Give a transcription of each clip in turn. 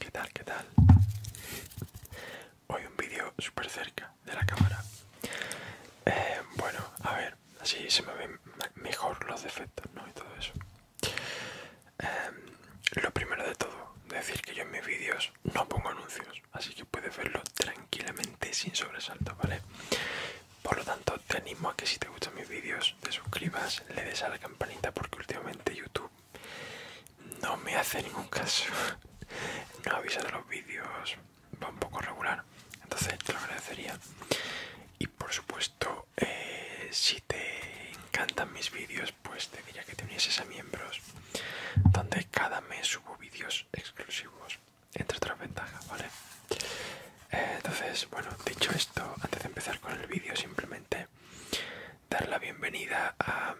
¿Qué tal? ¿Qué tal? Hoy un vídeo súper cerca de la cámara. Eh, bueno, a ver, así se me ven mejor los defectos, ¿no? Y todo eso. Em, lo primero de todo, decir que yo en mis vídeos no pongo anuncios, así que puedes verlo tranquilamente sin sobresalto, ¿vale? Por lo tanto, te animo a que si te gustan mis vídeos, te suscribas le des a la campanita porque últimamente YouTube no me hace ningún caso. No avisa de los vídeos, va un poco regular. Entonces te lo agradecería. Y por supuesto, eh, si te encantan mis vídeos, pues te diría que te unieses a miembros, donde cada mes subo vídeos exclusivos, entre otras ventajas, ¿vale? Eh, entonces, bueno, dicho esto, antes de empezar con el vídeo, simplemente dar la bienvenida a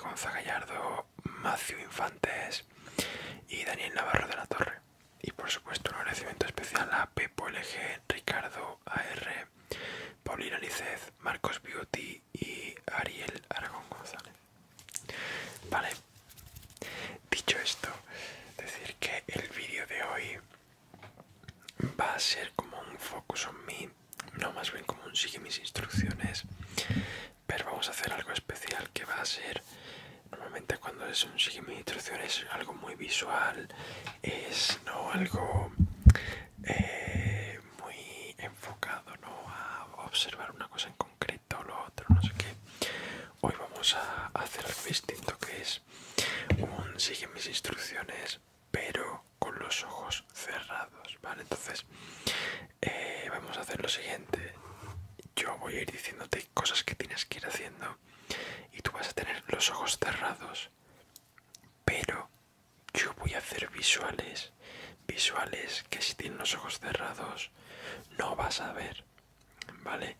Gonzaga eh, Gallardo, Macio Infantes y Daniel Navarro de la Torre. Y por supuesto, un agradecimiento especial a Pepo LG, Ricardo AR, Paulina Licez, Marcos Beauty y Ariel Aragón González. Vale, dicho esto, decir que el vídeo de hoy va a ser como un focus on me, no más bien como un sigue mis instrucciones, pero vamos a hacer algo especial que va a ser, normalmente cuando es un sigue mis instrucciones, algo muy visual, es no algo eh, muy enfocado ¿no? a observar una cosa en concreto o lo otro, no sé qué. Hoy vamos a hacer algo distinto que es sigue mis instrucciones pero con los ojos cerrados, ¿vale? Entonces eh, vamos a hacer lo siguiente. Yo voy a ir diciéndote cosas que tienes que ir haciendo y tú vas a tener los ojos cerrados, pero yo voy a hacer visuales, visuales que si tienes los ojos cerrados no vas a ver, ¿vale?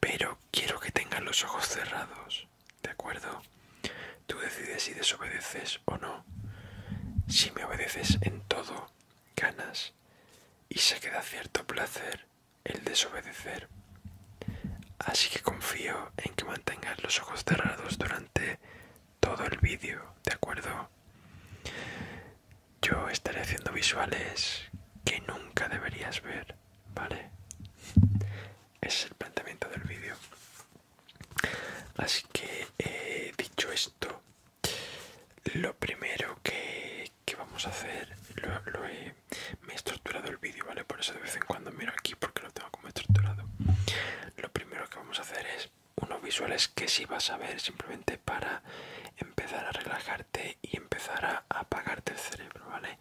pero quiero que tengas los ojos cerrados, ¿de acuerdo? Tú decides si desobedeces o no. Si me obedeces en todo, ganas y se queda cierto placer el desobedecer. Así que confío en que mantengas los ojos cerrados durante todo el vídeo, ¿de acuerdo? Yo estaré haciendo visuales que nunca deberías ver. ¿vale? es el planteamiento del vídeo. Así que, eh, dicho esto, lo primero que, vamos a hacer, lo, he, me he estructurado el vídeo, ¿vale? Por eso de vez en cuando miro aquí porque lo tengo como estructurado. Lo primero que vamos a hacer es unos visuales que si vas a ver simplemente para empezar a relajarte y empezar a apagarte el cerebro, ¿vale?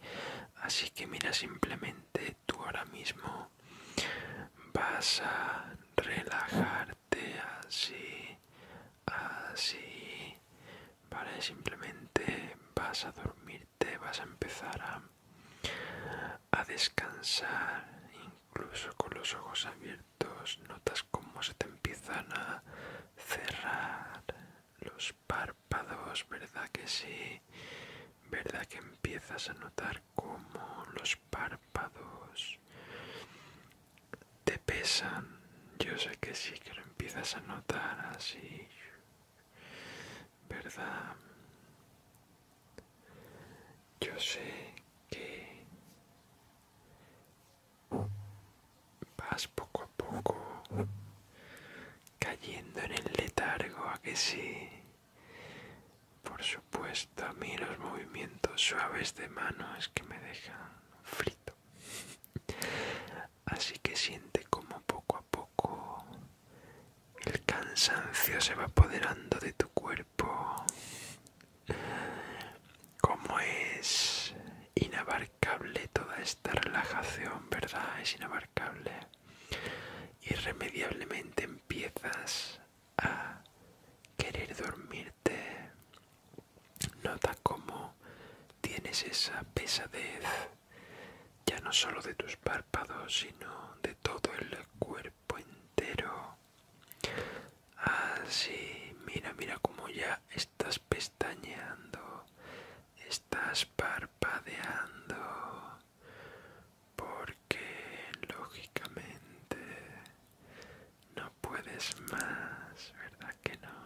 Así que mira, simplemente tú ahora mismo vas a relajarte así, así, ¿vale? Simplemente vas a dormirte, vas a empezar a, a descansar, incluso con los ojos abiertos, notas cómo se te empiezan a cerrar los párpados, ¿verdad que sí? ¿Verdad que empiezas a notar cómo los párpados te pesan? Yo sé que sí, que lo empiezas a notar así, ¿verdad? Yo sé que vas poco a poco cayendo en el letargo, a que sí. Por supuesto, a mí los movimientos suaves de manos que me dejan frito. Así que siente como poco a poco el cansancio se va apoderando de tu cuerpo. Como es toda esta relajación, ¿verdad? Es inabarcable. Irremediablemente empiezas a querer dormirte. Nota cómo tienes esa pesadez, ya no solo de tus párpados, sino de todo el cuerpo entero. Así, mira, mira cómo ya estás pestañeando, estás parpadeando, porque lógicamente no puedes más, ¿verdad que no?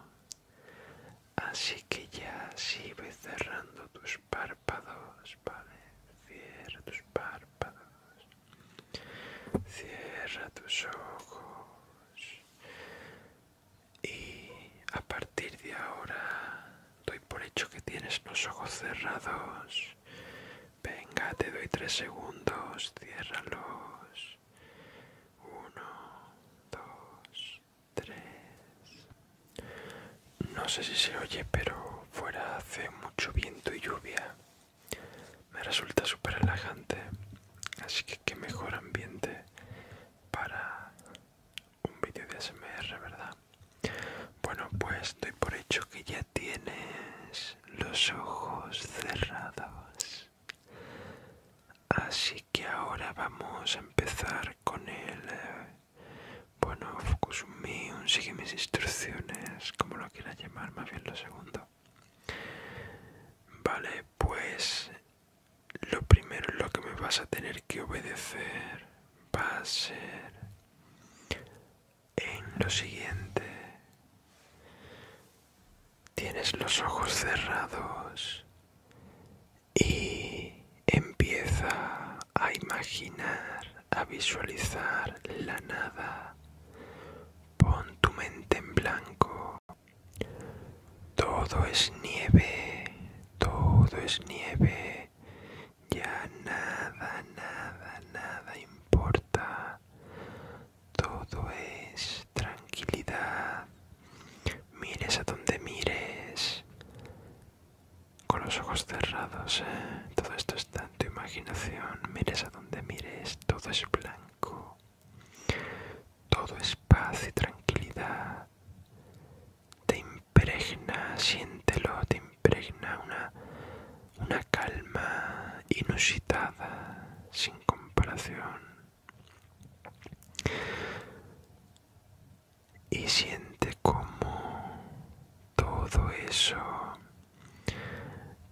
Así que ya sigue cerrando tus párpados, ¿vale? Cierra tus párpados, cierra tus ojos y a partir de ahora doy por hecho que tienes los ojos cerrados. Venga, te doy tres segundos, ciérralos. Uno, dos, tres. No sé si se oye, pero fuera hace mucho viento y lluvia. Me resulta súper relajante. Así que qué mejor ambiente para un vídeo de ASMR, ¿verdad? Bueno, pues estoy por hecho que ya tienes los ojos cerrados. Así que ahora vamos a empezar con el... Eh, bueno, focus sigue mis instrucciones, como lo quiera llamar, más bien lo segundo. Vale, pues lo primero lo que me vas a tener que obedecer va a ser en lo siguiente. Tienes los ojos cerrados y empieza a imaginar, a visualizar la nada. Pon tu mente en blanco todo es nieve, todo es nieve, ya nada, nada, nada importa. Todo es tranquilidad. Mires a donde mires. Con los ojos cerrados, ¿eh? todo esto está en tu imaginación. Mires a donde mires, todo es blanco. Todo es paz y tranquilidad. Te impregna, siéntelo, te impregna una, calma inusitada, sin comparación. Y siente como todo eso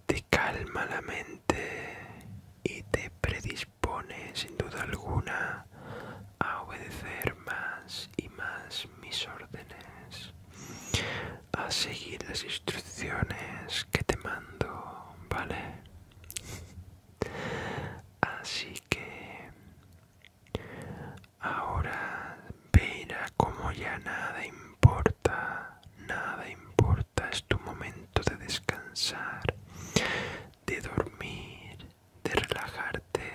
te calma la mente y te predispone sin duda alguna a obedecer más y más mis órdenes, a seguir las instrucciones que te mando, ¿vale? Así que ahora verá como ya nada importa, nada importa, es tu momento de descansar, de dormir, de relajarte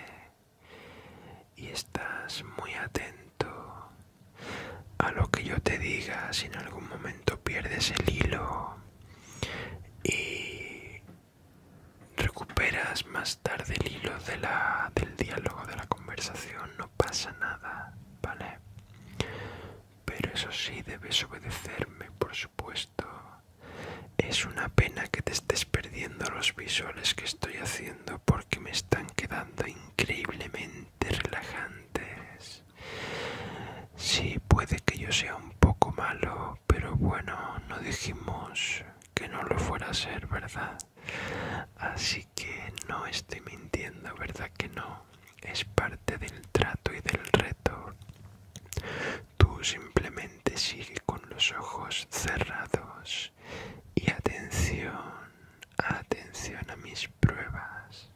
y estás muy atento a lo que yo te diga si en algún momento pierdes el hilo y recuperas más tarde el hilo del diálogo, de la conversación, no pasa nada, ¿vale? Pero eso sí, debes obedecerme, por supuesto. Es una pena que te estés perdiendo los visuales que estoy haciendo porque me están quedando increíblemente relajantes. Sí, puede que yo sea un poco malo, pero bueno, no dijimos que no lo fuera a ser, ¿verdad? Así que no estoy mintiendo, ¿verdad que no? Es parte del trato y del reto. Tú simplemente sigue con los ojos cerrados y atención, atención a mis pruebas.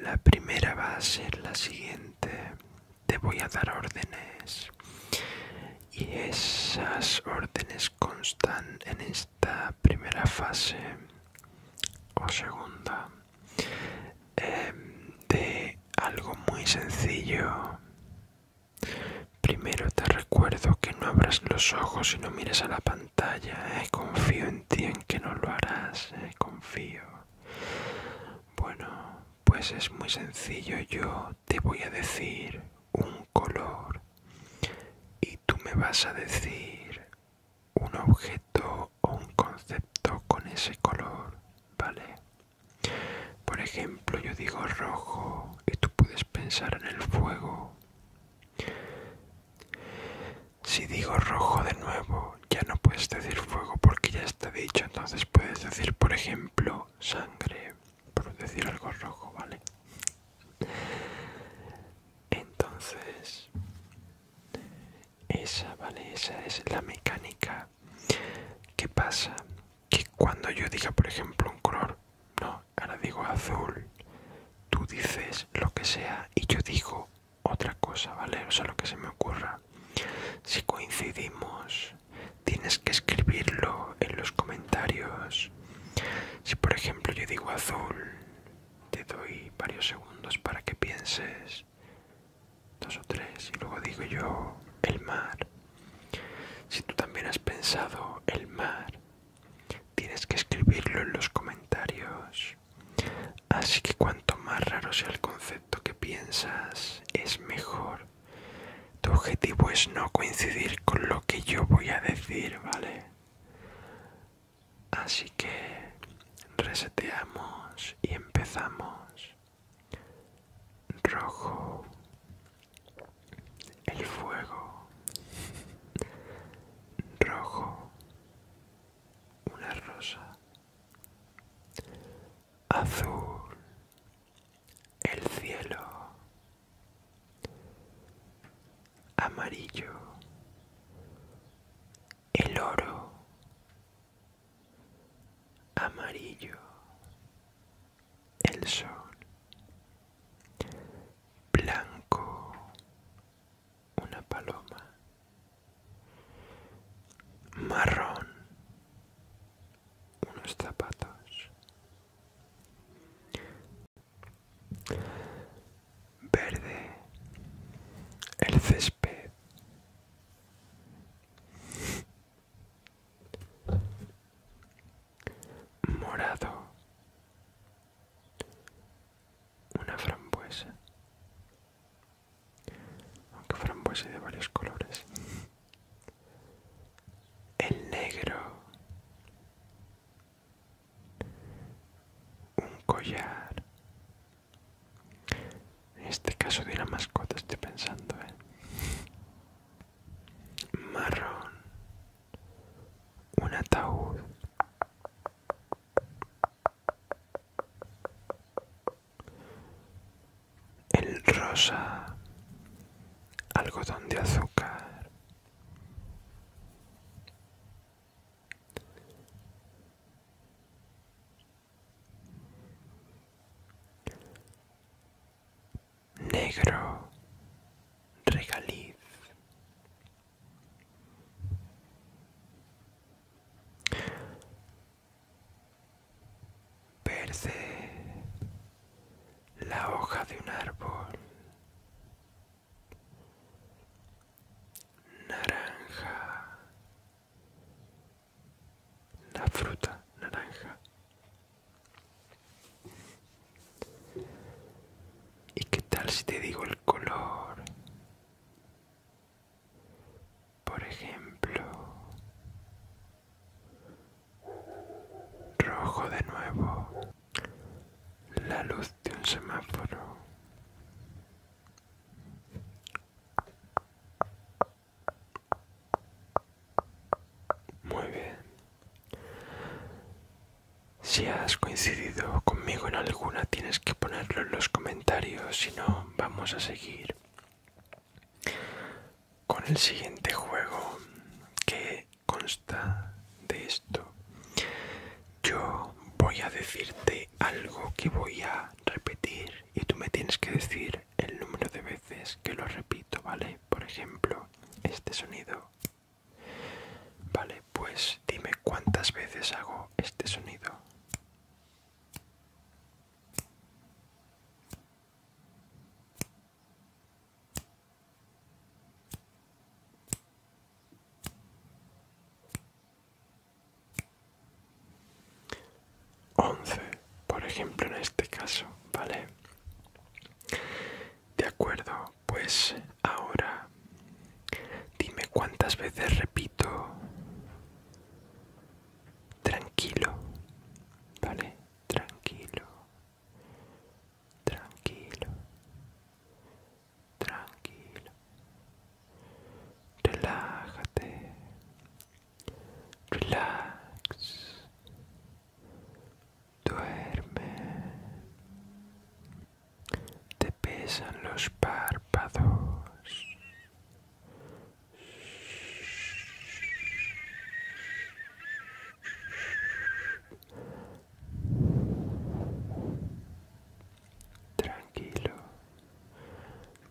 La primera va a ser la siguiente. Te voy a dar órdenes y esas órdenes constan en esta primera fase o segunda Em, de algo muy sencillo. Primero te recuerdo que no abras los ojos y no mires a la pantalla. Eh. Confío en ti en que no lo harás. Eh. Confío. Bueno, pues es muy sencillo. Yo te voy a decir un color y tú me vas a decir un objeto o un concepto con ese color, ¿vale? Por ejemplo, yo digo rojo y tú puedes pensar en el fuego. Si digo rojo de nuevo, ya no puedes decir fuego porque ya está dicho, entonces puedes decir, por ejemplo, sangre, por decir algo rojo, ¿vale? Entonces, esa, vale, esa es la mecánica. ¿Qué pasa? Que cuando yo diga, por ejemplo, un color, no, ahora digo azul, tú dices lo que sea y yo digo otra cosa, ¿vale? O sea, lo que se me ocurra. Si coincidimos, tienes que escribirlo en los comentarios. Si, por ejemplo, yo digo azul te doy varios segundos para que pienses, dos o tres, y luego digo yo el mar. Si tú también has pensado el mar, tienes que escribirlo en los comentarios. Así que cuanto más raro sea el concepto que piensas, es mejor. Tu objetivo es no coincidir con lo que yo voy a decir, ¿vale? Así que reseteamos y empezamos. Rojo. El fuego. Rojo. Una rosa. Azul. El cielo. Amarillo el oro amarillo, el sol, blanco, una paloma, marrón, unos zapatos verde, el césped. Morado, una frambuesa, aunque frambuesa de varios colores, el negro, un collar. En este caso de una mascota estoy pensando, ¿eh? Marrón. Un ataúd. El rosa. Algodón de azúcar negro regaliz perce la hoja de un árbol naranja, la fruta naranja. ¿Y qué tal si te digo el color? Por ejemplo, rojo de nuevo, la luz de un semáforo. Muy bien. Si has coincidido conmigo en alguna, tienes que ponerlo en los comentarios, si no, vamos a seguir con el siguiente juego que consta de yo voy a decirte algo que voy a repetir y tú me tienes que decir el número de veces que lo repito, ¿vale? Por ejemplo, este sonido. Vale, pues dime cuántas veces hago este sonido. 11, por ejemplo, en este caso, ¿vale? De acuerdo, pues ahora dime cuántas veces repito tranquilo, ¿vale? Tranquilo, tranquilo, tranquilo relájate relax duerme te pesan los párpados Tranquilo.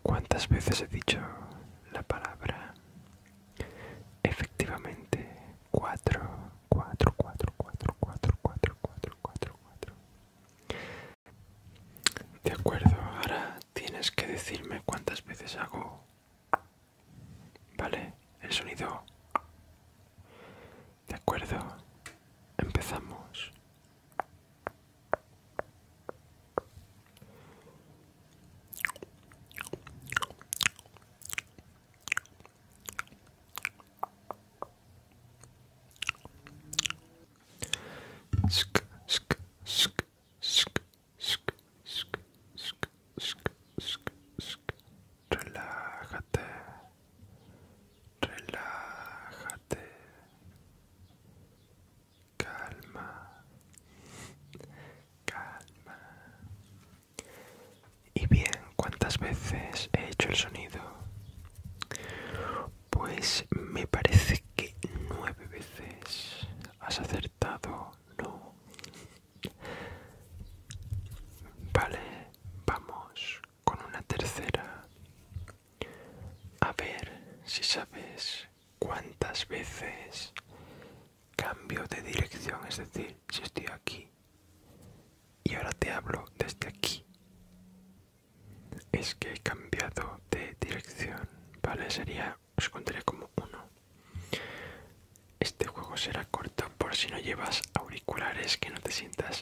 ¿Cuántas veces he dicho la palabra? Efectivamente, cuatro, cuatro, cuatro, cuatro, cuatro, cuatro, cuatro, cuatro, cuatro. De acuerdo, ahora tienes que decirme cuántas veces hago. ¿Vale? El sonido. ¿De acuerdo? Empezamos relájate, relájate, calma, calma. Y bien, ¿cuántas veces he hecho el sonido? Pues me parece que nueve veces has acertado, ¿no? Vale, vamos con una tercera. A ver si sabes cuántas veces cambio de dirección, es decir, si estoy aquí y ahora te hablo desde aquí. Es que he cambiado de dirección, ¿vale? Sería, os contaré como uno. Este juego será corto por si no llevas auriculares que no te sientas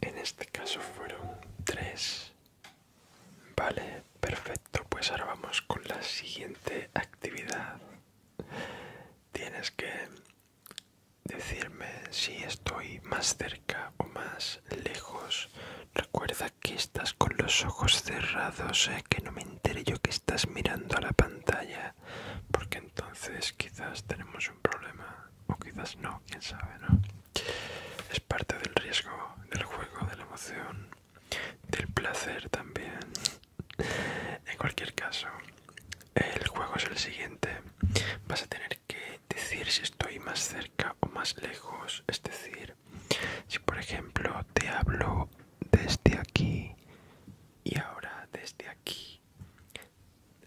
En este caso fueron tres. Vale, perfecto. Pues ahora vamos con la siguiente actividad. Tienes que decirme si estoy más cerca o más lejos. Recuerda que estás con los ojos cerrados, eh, que no me entere yo que estás mirando a la pantalla porque entonces quizás tenemos un problema o quizás no, quién sabe, ¿no? Es parte del riesgo, del juego, de la emoción, del placer también. En cualquier caso, el juego es el siguiente. Vas a tener que decir si estoy más cerca o más lejos. Es decir, si por ejemplo te hablo desde aquí y ahora desde aquí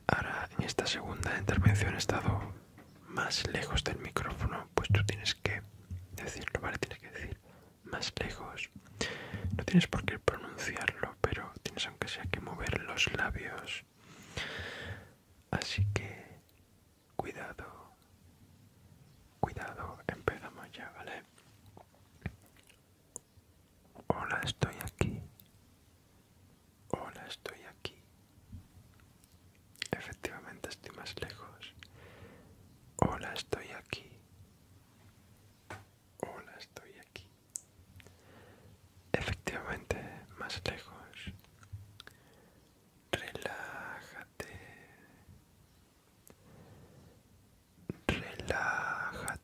Ahora en esta segunda intervención he estado más lejos del micrófono, pues tú tienes que decirlo, ¿vale? Tienes que decir más lejos. No tienes por qué pronunciarlo, pero tienes aunque sea que mover los labios. Así que cuidado, cuidado, empezamos ya, ¿vale? Hola, estoy aquí. Hola, estoy aquí. Efectivamente estoy más lejos. Hola, estoy aquí. Hola, estoy aquí. Efectivamente más lejos. Relájate. Relájate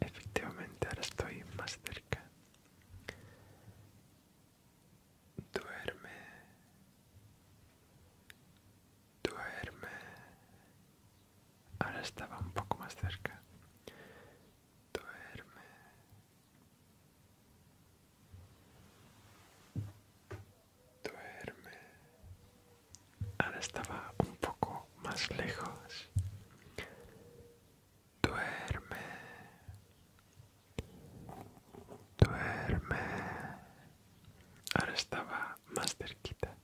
efectivamente ahora estoy más cerca. Duerme, duerme. Ahora estaba un poco más cerca. Duerme. Duerme. Ahora estaba un poco más lejos. Duerme. Duerme. Ahora estaba más cerquita.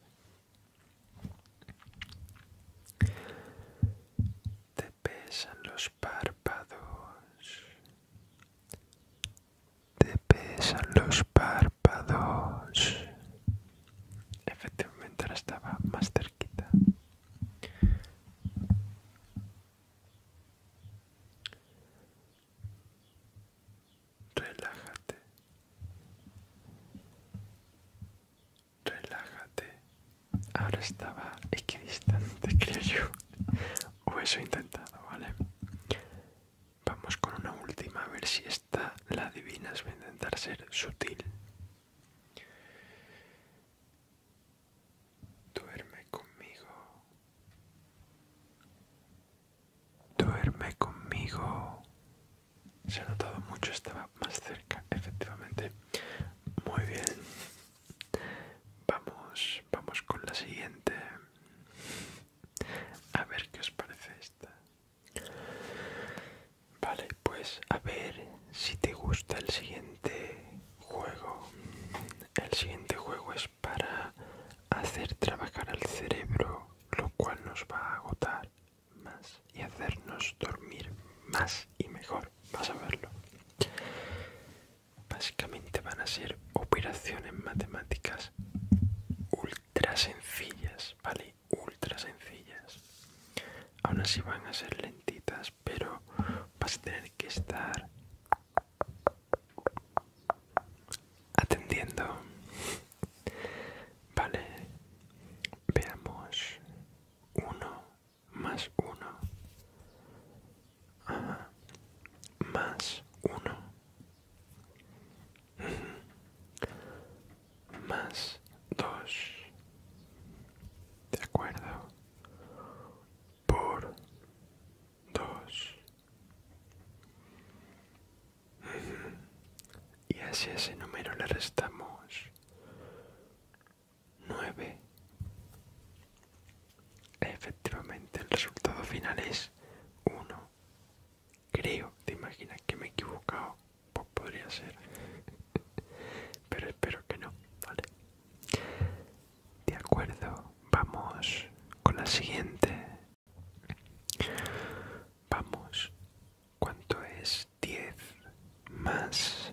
Te pesan los párpados. Te pesan los párpados. Efectivamente ahora estaba más cerquita. Relájate. Relájate. Ahora estaba equidistante, creo yo. O eso intentado, ¿vale? Vamos con una última a ver si la divina, es voy a intentar ser sutil. Duerme conmigo. Duerme conmigo. Se ha notado mucho, estaba más cerca, efectivamente. Muy bien. Vamos, vamos con la siguiente. A ver qué os parece esta. Vale, pues a ver si te gusta el siguiente juego. El siguiente juego es para hacer trabajar al cerebro, lo cual nos va a agotar más y hacernos dormir más y mejor. Vas a verlo. Básicamente van a ser operaciones matemáticas ultra sencillas, ¿vale? ultra sencillas. Aún así van a ser lentitas, pero vas a tener que estar atendiendo. Vale, veamos. Uno más uno. Más uno más dos de acuerdo por dos y hacia ese número le restamos nueve efectivamente el resultado final es uno Creo, te imaginas que me he equivocado, pues podría ser. Pero espero que no, ¿vale? De acuerdo, vamos con la siguiente. Vamos, ¿cuánto es 10 más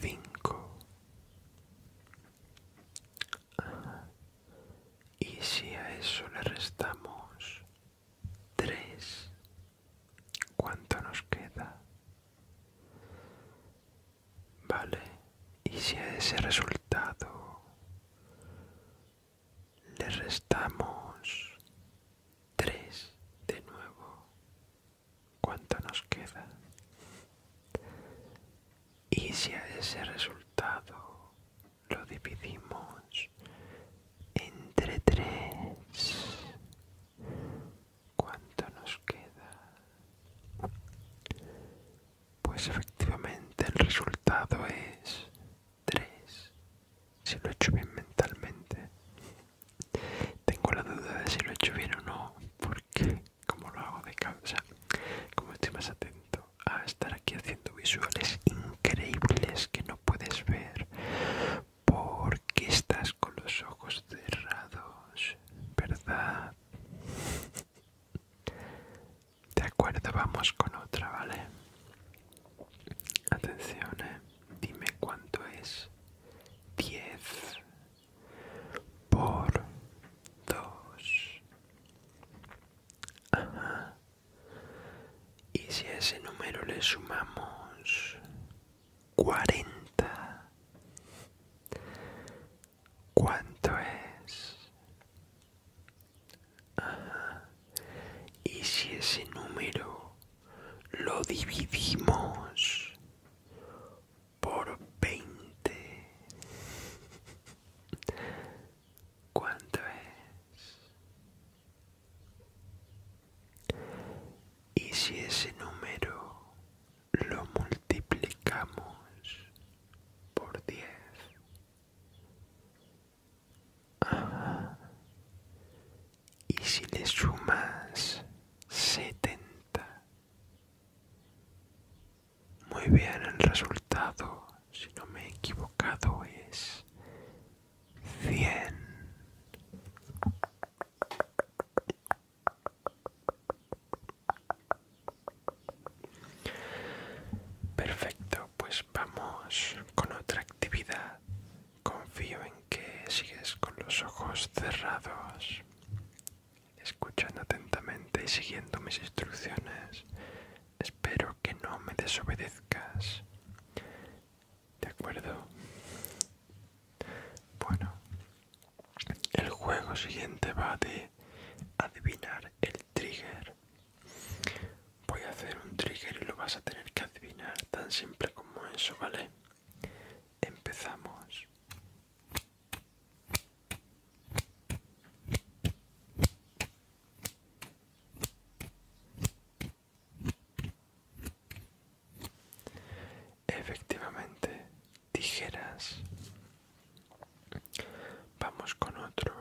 5? Ah, y si a eso le restamos tres. ¿Cuánto nos queda? Vale, y si a ese resultado le restamos tres de nuevo, ¿cuánto nos queda? Y si a ese resultado lo dividimos entre tres cuánto nos queda pues efectivamente el resultado es 3 si lo he hecho bien mentalmente tengo la duda de si lo he hecho bien o no porque como lo hago de cabeza como estoy más atento a estar aquí haciendo visuales increíbles que no puedes ver porque estás con los ojos cerrados, ¿verdad? De acuerdo, vamos con otra, ¿vale? Atención, ¿eh? dime cuánto es 10 por 2. Y si a ese número le sumamos cuarenta, ¿cuánto es? Y si ese número lo dividimos por veinte, ¿cuánto es? Y si ese número lo multiplicamos por 10, y si le sumas 70, muy bien, el resultado, si no me he equivocado, es 100 Perfecto, pues vamos con otra actividad. Confío en que sigues con los ojos cerrados, escuchando atentamente y siguiendo mis instrucciones. Espero que no me desobedezcas. ¿De acuerdo? Bueno, el juego siguiente va de adivinar el trigger. Voy a hacer un trigger y lo vas a tener que adivinar, tan simple como eso, ¿vale? Empezamos. Efectivamente, tijeras. Vamos con otro.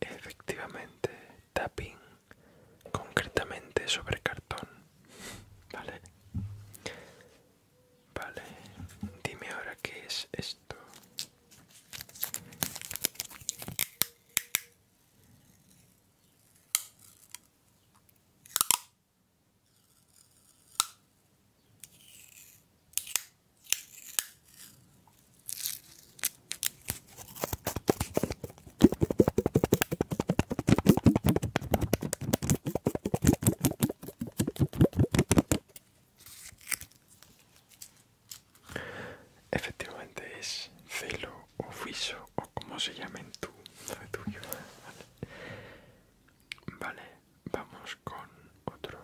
Efectivamente, tapping concretamente sobre cartón. Vale. Vale. Dime ahora qué es esto. Efectivamente es celo o fiso ¿Cómo se llamen tú, tu vale. vamos con otro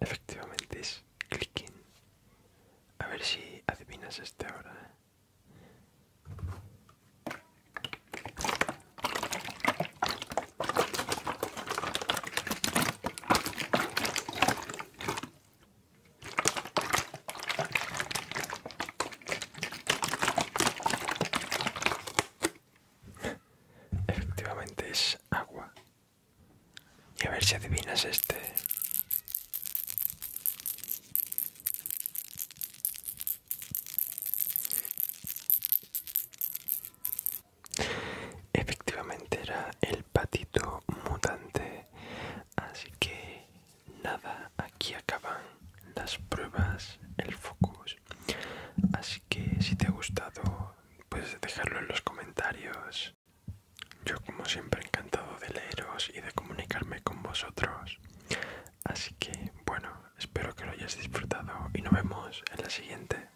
efectivamente es clicking a ver si adivinas este ahora ¿eh? Efectivamente es agua. Y a ver si adivinas este. Efectivamente era el patito mutante. Así que nada, aquí acaban las pruebas, el focus. Así que si te ha gustado, puedes dejarlo en los comentarios. Yo como siempre encantado de leeros y de comunicarme con vosotros. Así que bueno, espero que lo hayas disfrutado y nos vemos en la siguiente.